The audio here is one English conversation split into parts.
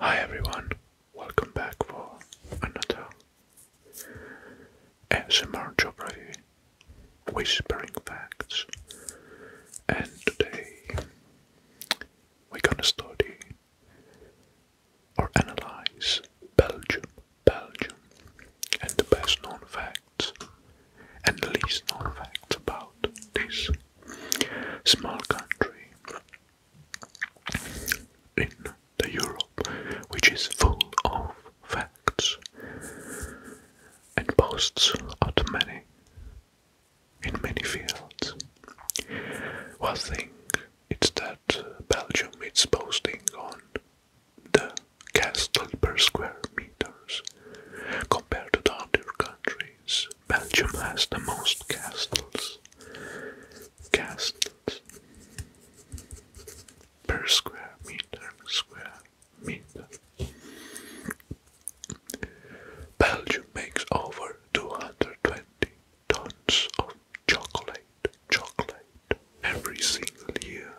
Hi everyone, welcome back for another ASMR Whispering Facts, and today we're gonna study or analyze Belgium Belgium and the best known facts and the least known facts about this small country in the Europe which is full of facts and boasts of many in many fields. One thing it's that Belgium is posting on the castle per square meters. Compared to the other countries, Belgium has the most castles. Castles per square meter, square meter. Belgium makes over 220 tons of chocolate, chocolate every single year.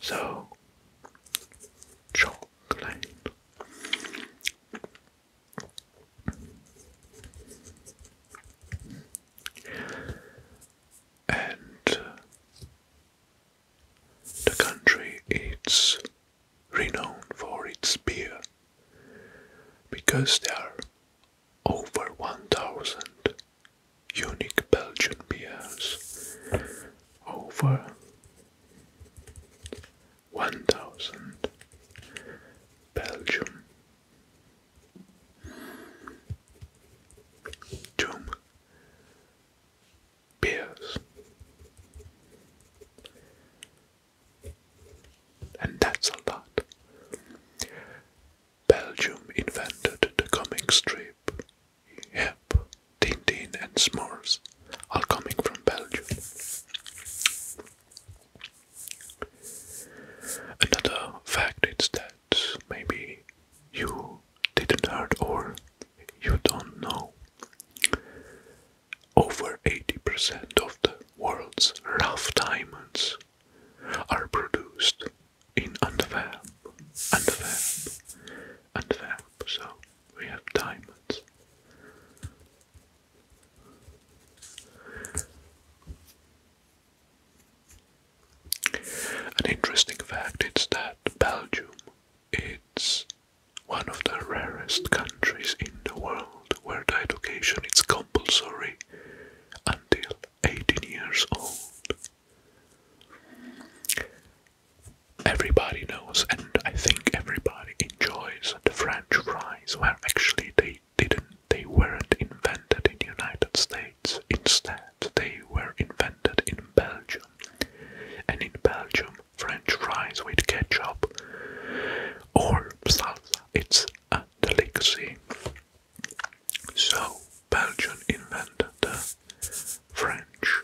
So, chocolate. And uh, the country is renowned for its beer because there are over 1000 unique Belgian beers. Over 1000 Belgium. Doom And that's a lot. Belgium invented the comic strip. Yep, Tintin and Smurfs, are coming from Belgium. Another fact is that maybe you didn't heard or you don't know. Over 80% of the world's rough diamonds are produced in Antwerp, Antwerp, Antwerp. So we have diamonds. An interesting fact is that Belgium its one of the rarest countries in the world where the education is compulsory until 18 years old. Everybody knows, and I think everybody enjoys the French fries, where actually they didn't, they weren't invented in the United States. Instead, they were invented in Belgium, and in Belgium, French fries with ketchup or salsa—it's a delicacy. So, Belgian invented the French,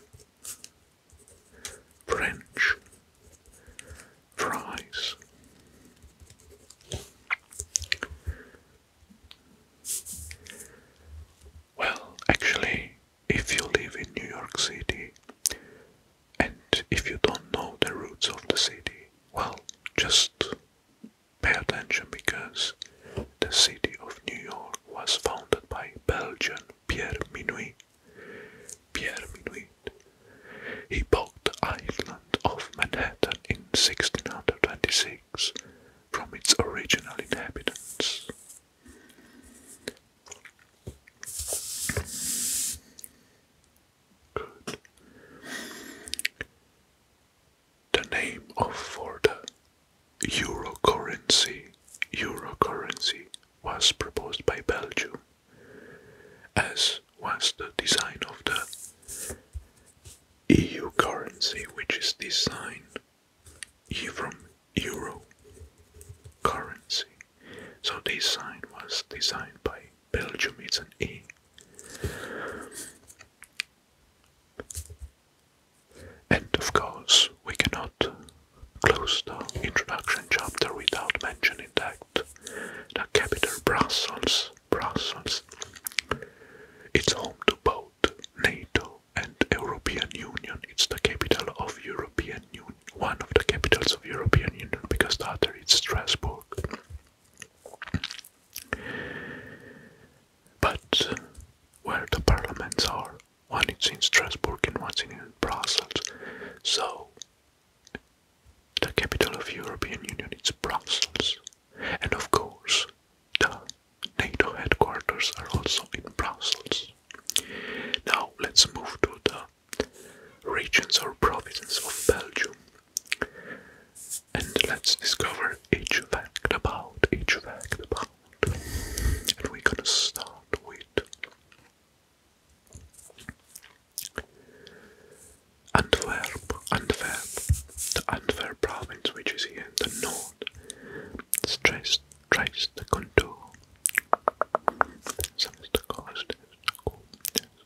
French fries. Well, actually, if you live in New York City and if you don't know the roots of the city, well, just Pay attention because the city of New York was founded by Belgian Pierre Minuit. Pierre Minuit. He bought the island of Manhattan in 1626 from its original inhabitants. The name of the euro currency, was proposed by Belgium, as was the design of the EU currency, which is designed from euro currency. So the design was designed by Belgium is an E, And of course, we cannot close the introduction chapter without mentioning that the capital Brussels, Brussels, it's home to both NATO and European Union. It's the capital of European Union, one of the capitals of European Union, because the other is Strasbourg. But where the parliaments are, one is in Strasbourg and one is in Brussels. So the capital of European Union is Brussels. And of course, the NATO headquarters are also in Brussels. Now let's move to the regions or provinces of Belgium. And let's discover each fact about, each fact about. And we're gonna start with Antwerp, Antwerp, the Antwerp province, which is in the north, stressed, trace the contour. So it's the coast, it's the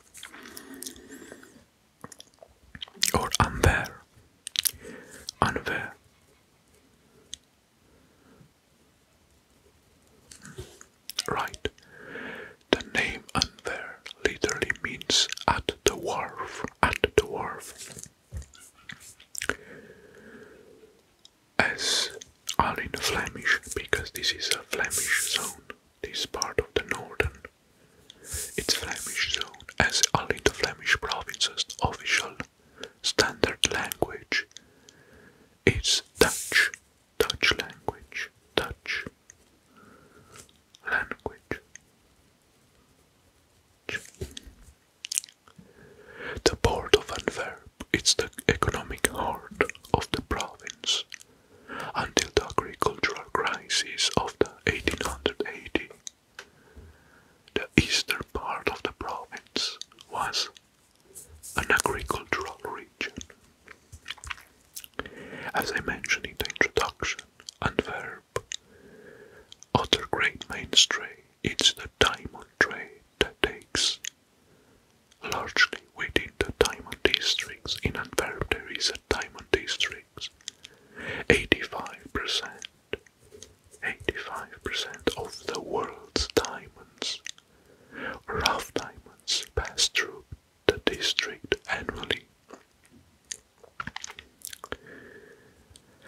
or unfair, unfair. Right. The name unfair literally means at the wharf, at the wharf. As all in Flemish, because this is a Flemish zone this part of the northern its Flemish zone as only the Flemish province's official standard language is Dutch, Dutch language, Dutch language. The port of Antwerp It's the economic heart of the province until the agricultural crisis of the 1880s, The eastern part of the province was an agricultural region. As I mentioned in the introduction, and verb, other great mainstay trade, it's the diamond trade that takes Largely within the diamond districts in Antwerp there is a diamond district. 85% 85% of the world's diamonds, rough diamonds, pass through the district annually.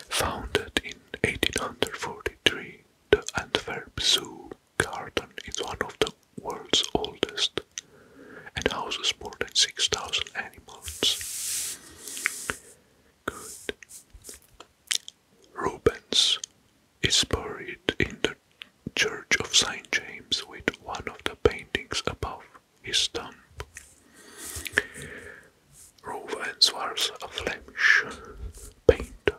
Founded in 1843, the Antwerp Zoo garden is one of the world's oldest and houses more than 6,000 animals. Good. Rubens is buried in the Church of St. James with one of the paintings above his tomb. Rubens was a Flemish painter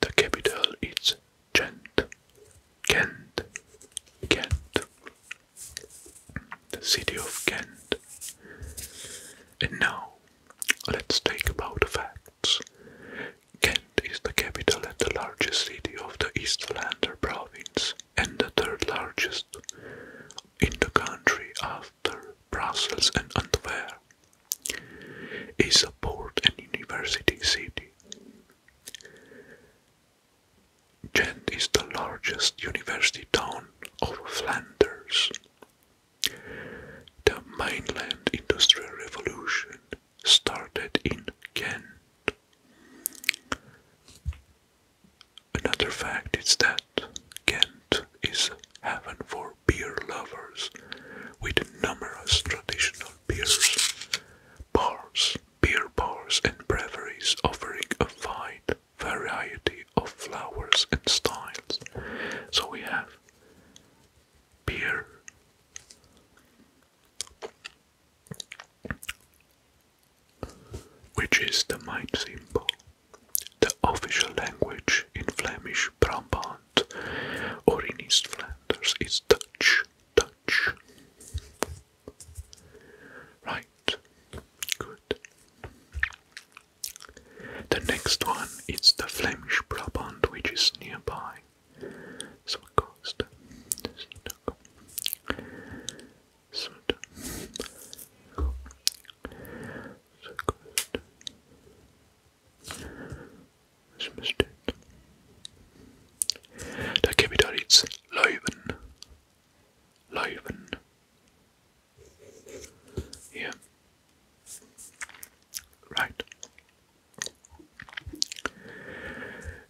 The capital is Ghent. Ghent. Ghent. The city of Ghent. And now, let's talk about the facts. Ghent is the capital and the largest city of the East Flanders province and the third largest in the country after Brussels and Antwerp is a port and university city. Ghent is the largest university town of Flanders. The mainland industrial revolution started in Ghent. Another fact is that Kent is heaven for beer lovers, with numerous traditional beers, bars, beer bars, and breweries offering a wide variety of flowers and styles. So we have beer, which is the mind symbol the official language in Flemish Brabant or in East Flanders is Dutch. Dutch. Right. Good. The next one is the Flemish Brabant, which is nearby. So coast. So good. This mistake. That Yeah. Right.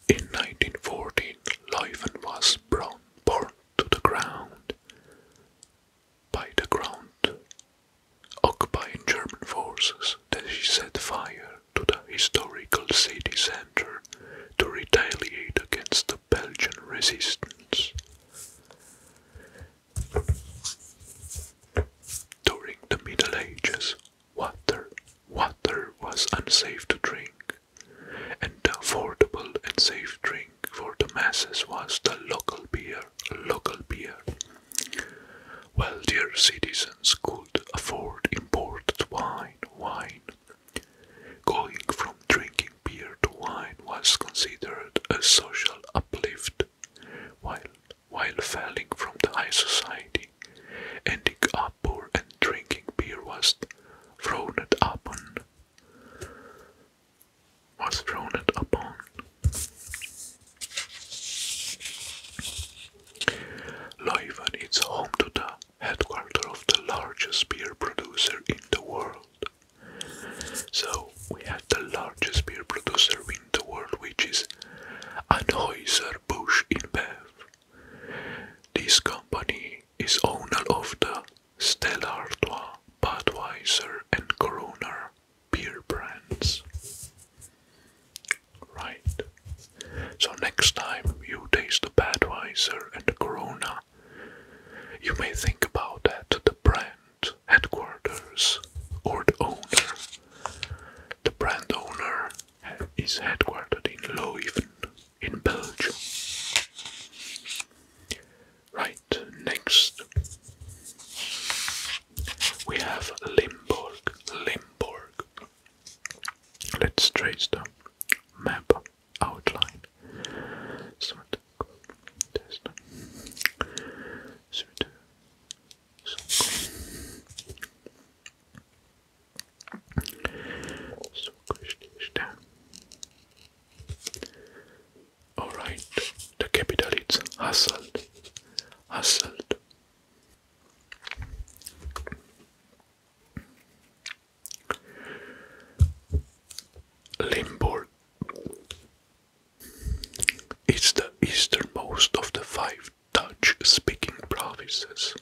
In 1914, Leuven was brought to the ground by the ground. Occupying German forces then set fire to the historical city centre to retaliate against the Belgian resistance. During the Middle Ages, water, water was unsafe to drink, and affordable and safe drink for the masses was the local beer, local beer. Well, dear citizens could afford imported wine, wine. Going from drinking beer to wine was considered a social uplift, while while falling from the high society, ending up poor and drinking beer was frowned upon was thrown upon. Leuven is home to the headquarters of the largest beer producer in the world. So we had the largest beer producer in the world, which is Anheuser-Busch InBev. This company is owner of the Stella Artois, Budweiser, and Corona beer brands. Right. So next time you taste the Budweiser and the Corona, you may think about that the brand headquarters or the owner. The brand owner is headquartered in Leuven in Belgium. Right, next we have Limburg. Limburg. Let's trace the map outline. Alright, the capital is Hasselt. Hasselt. Limburg is the easternmost of the five Dutch-speaking provinces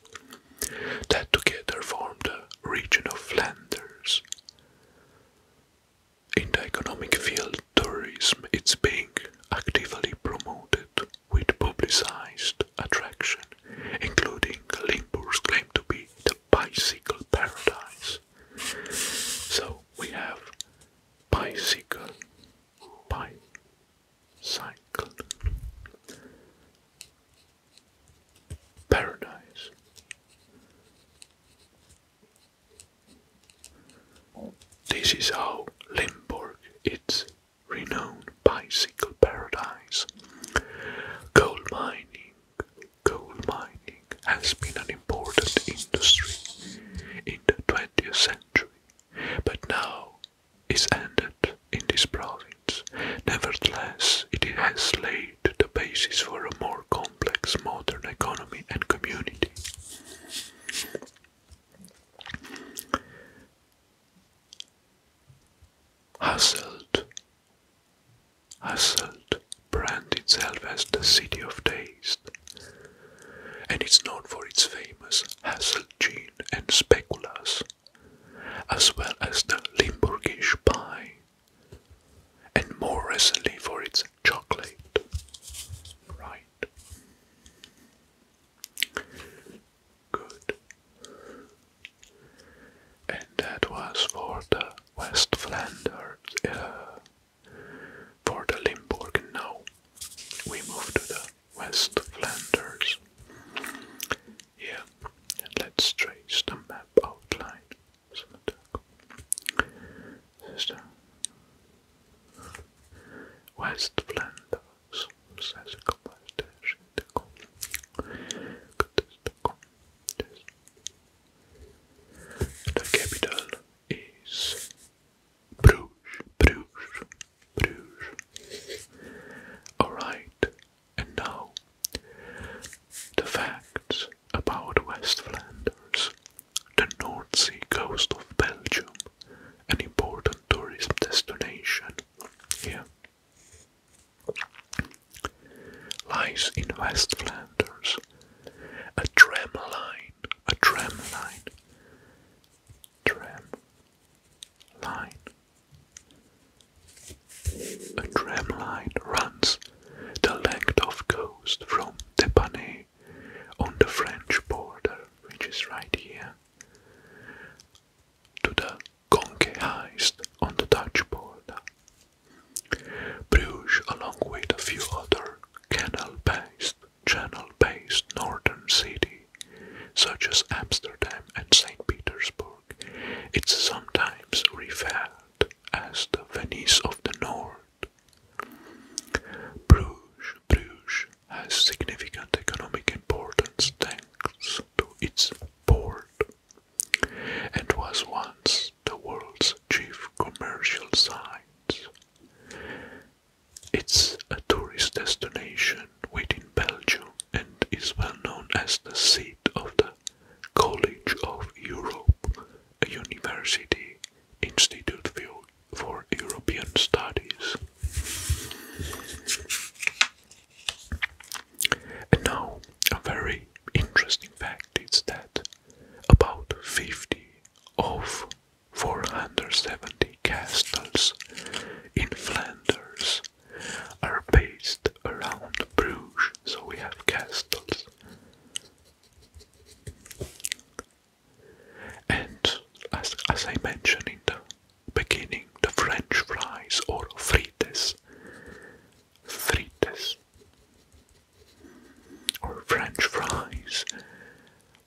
that together form the region of Flanders. In the economic field, tourism is being actively promoted with publicized attraction, including Limburg's claim to be the bicycle paradise. So we have bicycle, bicycle, paradise. This is how Limburg is renowned bicycle paradise. Coal mining, coal mining has been an important industry in the 20th century, but now is ended in this province. Nevertheless, it has laid to the basis for a more complex modern economy and community. Hasselt. Hasselt brands itself as the city of taste, and it's known for its famous Hasselt gin and speculas, as well as the Limburgish pie, and more recently for its chocolate. Right. Good. And that was for the West Flanders, uh, for the Limburg. Now we move to the West Flanders. Yeah, let's trace the map outline some attack. Sister. Where's the flanders? Says a The capital is Bruges, Bruges, Bruges. Alright, and now, the facts about West Flanders, the North Sea coast of Belgium, an important tourism destination here, lies in West Flanders a tram line, a tram line, tram line a tramline runs the length of coast from Tepane on the French border, which is right here, to the Conque Heist on the Dutch border. Bruges, along with a few other canal-based, channel-based northern cities, such as Amsterdam and St. Petersburg, it's sometimes referred as the Venice of the North. Bruges, Bruges has significant economic importance thanks to its port and was once the world's chief commercial site. It's a tourist destination within Belgium and is well known as the seat of the College of Europe, a university institute for European studies. And now, a very interesting fact is that about 50 of 470 castles in Flanders are based around Bruges, so we have castles. And as, as I mentioned in the beginning, the French fries or frites, frites, or French fries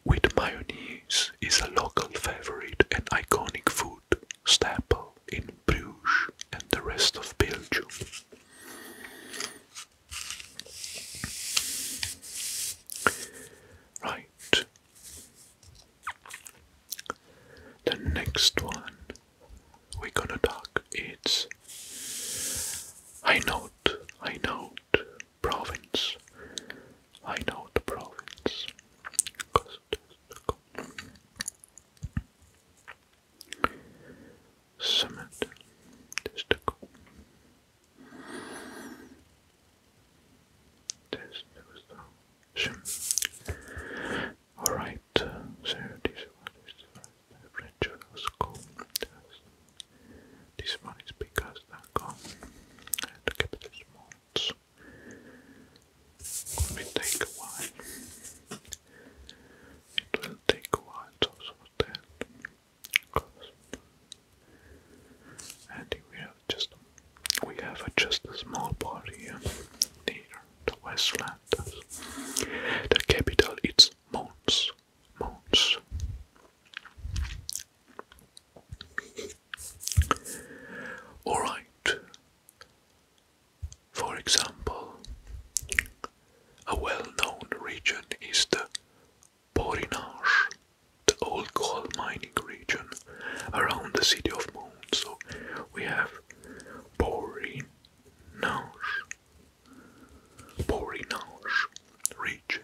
with mayonnaise is a local favorite and iconic food Groot, in Bruges and the rest of Belgium. Right. The next one we're gonna talk is Hainaut, Hainaut province, Hainaut province. Summit testicle. Test Alright, uh, so this one is the French school. This one is because they're gone uh, and capital small. It may take a while. It will take a while to sort that. Because Andy, we have just we have a, just a small body near the Westlands. The capital is Mons. Mons. Alright, for example, a well known region is the Borinage, the old coal mining region around the city of Moon. So we have Borinage, Borinage region.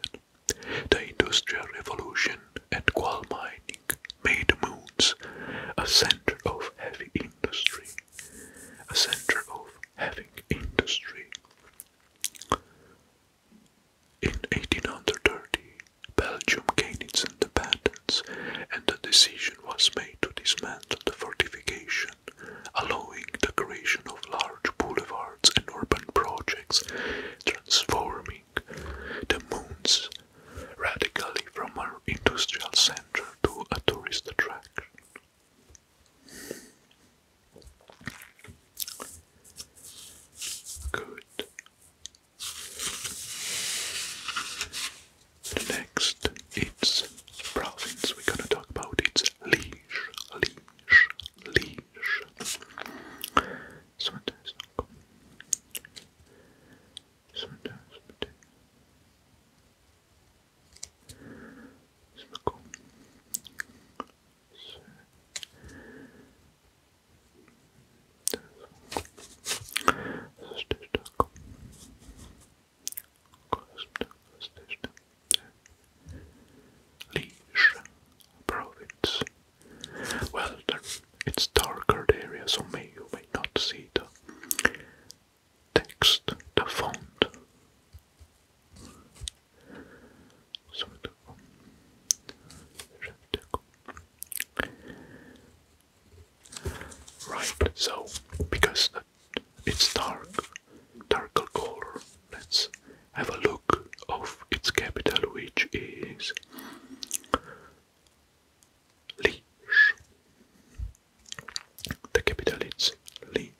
The Industrial Revolution and coal mining made the moons a center of heavy industry, a center of heavy industry. In 1830, Belgium gained its independence, and the decision was made to dismantle the fortification, allowing the creation of large boulevards and urban projects, transforming the moon's radically from an industrial center to a tourist attraction. Good. The next it's province we're gonna talk about it's Liege, Liege, Liege. So sometimes particularly cool. So that's stitch.com. Leisure profits. Well done it's darker area, so may you may not see the text, the font. So Right, so because it's dark, darker color, let's have a look of its capital, which is Liege. The capital is Liege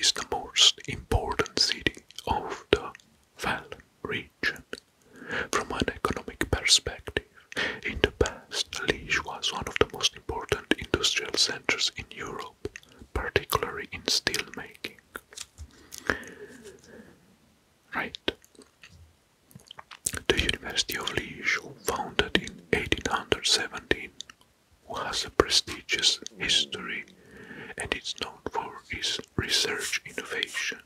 is the most important city of the Val region. From an economic perspective, in the past, Liege was one of the most important industrial centers in Europe particularly in steel making. Right. The University of Liege, founded in 1817, has a prestigious history and is known for its research innovation.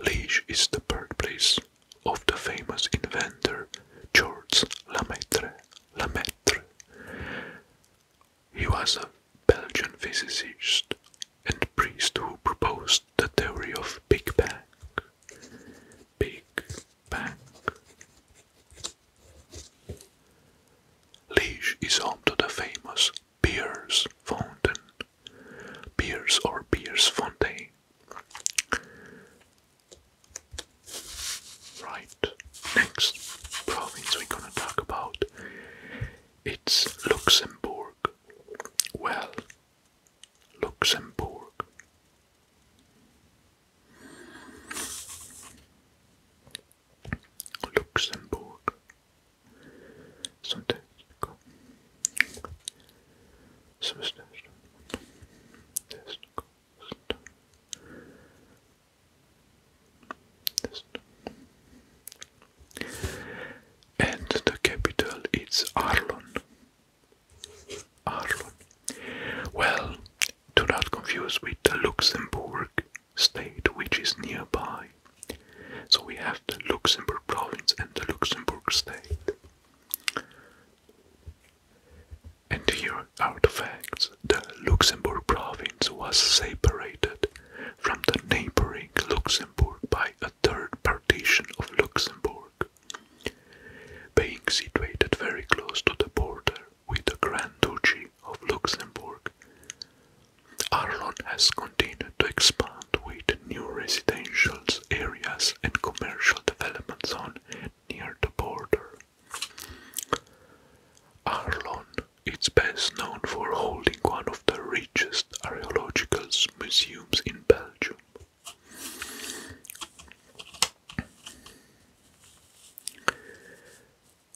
Liege is the birthplace of the famous inventor Georges Lemaître. Lemaître. He was a Belgian physicist and priest who proposed the theory of Big Bang. Big Bang. Liège is home to the famous Beers Fountain. Beers or Beers Fontaine Right, next province we're gonna talk about it's Luxembourg. Well, Luxembourg. Luxembourg. Sometimes System. Test. And the capital is Arlon. Arlon. Well, do not confuse with the Luxembourg state, which is nearby. So we have the Luxembourg province and the Luxembourg state. And here artifacts, the Luxembourg province was separated from the neighboring Luxembourg by a third partition of Luxembourg, being situated very close to the border with the Grand Duchy of Luxembourg. Arlon has continued to expand with new residential areas and commercial development zone near the border. Arlon is best known for holding one of the richest archaeological museums in Belgium.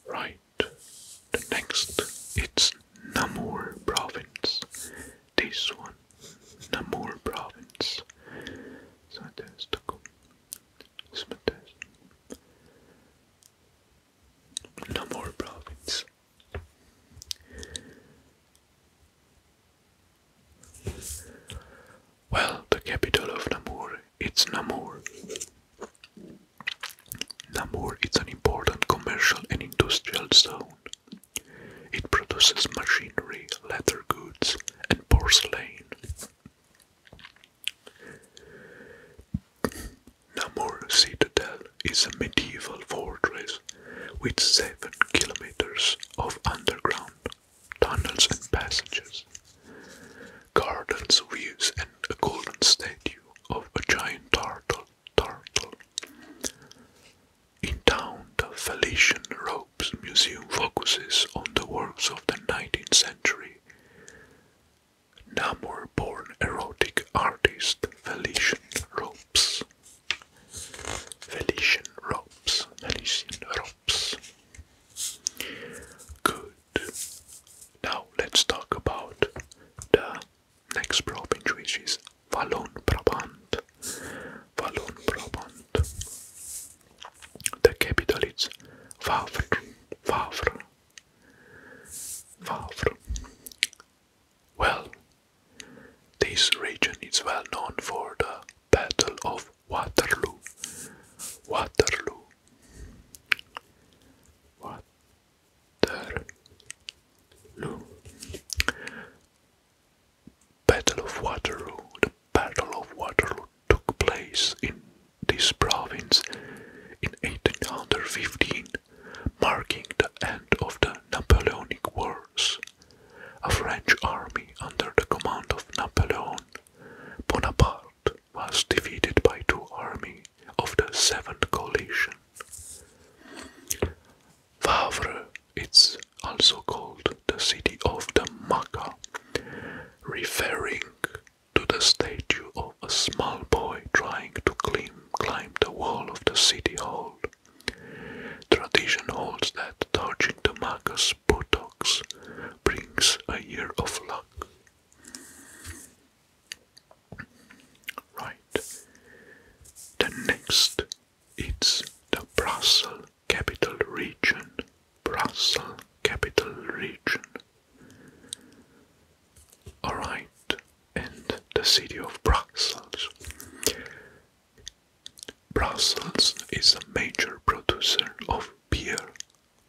Right, next it's Namur province this one, Namur province. Namur province. Well, the capital of Namur, it's Namur. Namur is an important commercial and industrial zone it produces machinery, leather goods, and porcelain. Namur Citadel is a medieval fortress with seven kilometers of underground tunnels and passages, gardens, views, and a golden statue of a giant turtle. turtle. In town, the Felician Ropes Museum focuses on the works of the 19th century. Namur-born erotic artist Felician Ropes. Felician Ropes. Felician Ropes. Good. Now let's talk about the Next province which is Valon Brabant. Valon Brabant. The capital is Wavre. Wavre. Wavre. Well, this region is well known for the Battle of Waterloo. Waterloo. Waterloo. Battle of Waterloo. The Battle of Waterloo took place in this province in 1815, marking the end of the Napoleonic Wars. A French army under the command of Napoleon Bonaparte was defeated by two armies of the Seventh Coalition. Favre, it's also called the city of the Maca, referring to the statue of a small boy trying to climb, climb the wall of the city hall. Tradition holds that touching the Maca's buttocks brings a year of luck. Right. The next it's the Brussels capital region. Brussels capital region. Alright, and the city of Brussels. Brussels is a major producer of beer,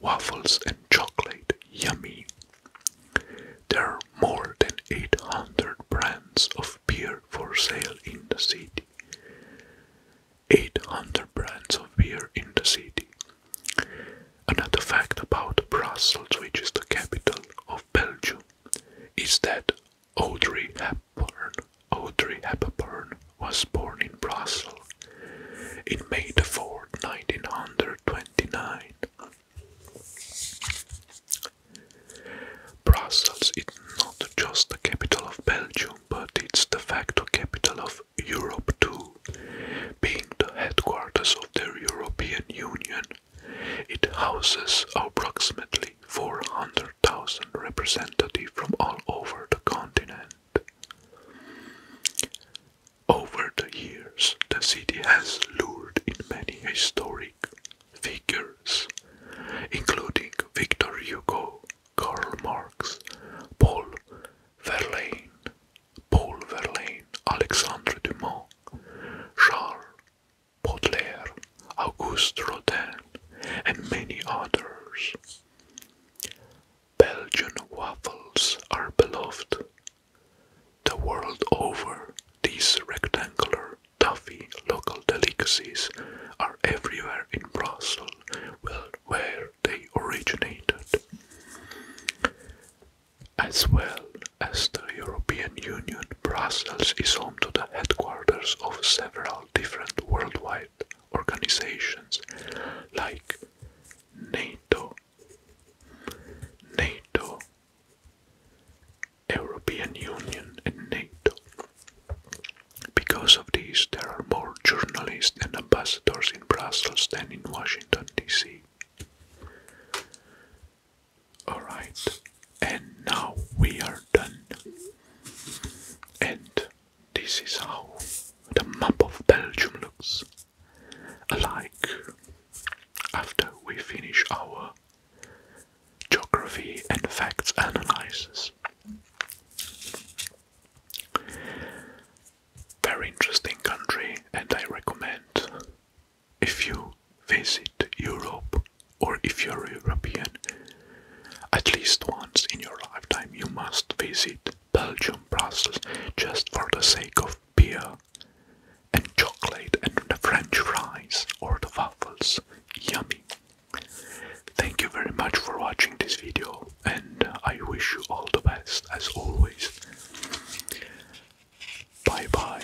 waffles, and chocolate. Yummy! There are more than 800 brands of beer for sale in the city. 800 brands of beer in the city. Another fact about Brussels, which is the capital of Belgium, is that Audrey Hepburn, Audrey Hepburn was born in Brussels in May the fourth, nineteen 1929. Brussels is not just the capital of Belgium, but it's the facto capital of Europe too. Being the headquarters of the European Union, it houses approximately 400,000 representatives from all over the continent. Over the years, the city has lured in many historic figures, including Victor Hugo, Karl Marx, Paul Verlaine, Paul Verlaine, Alexandre Dumas, Charles Baudelaire, Auguste Rodin, and many others. Belgian waffles are beloved. The world over, these rectangular Toffee local delicacies are everywhere in Brussels, where they originated. As well as the European Union, Brussels is home to the headquarters of several different worldwide organizations like NATO, NATO European Union and NATO. Because of this, there are more journalists and ambassadors in Brussels than in Washington, D.C. Alright, and now we are done. And this is how the map of Belgium looks like after we finish our Geography and Facts Analysis. Very interesting country, and I recommend if you visit Europe or if you're European, at least once in your lifetime you must visit Belgium, Brussels, just for the sake of beer, and chocolate and the french fries or the waffles. Yummy! Thank you very much for watching this video and I wish you all the best as always. Bye bye.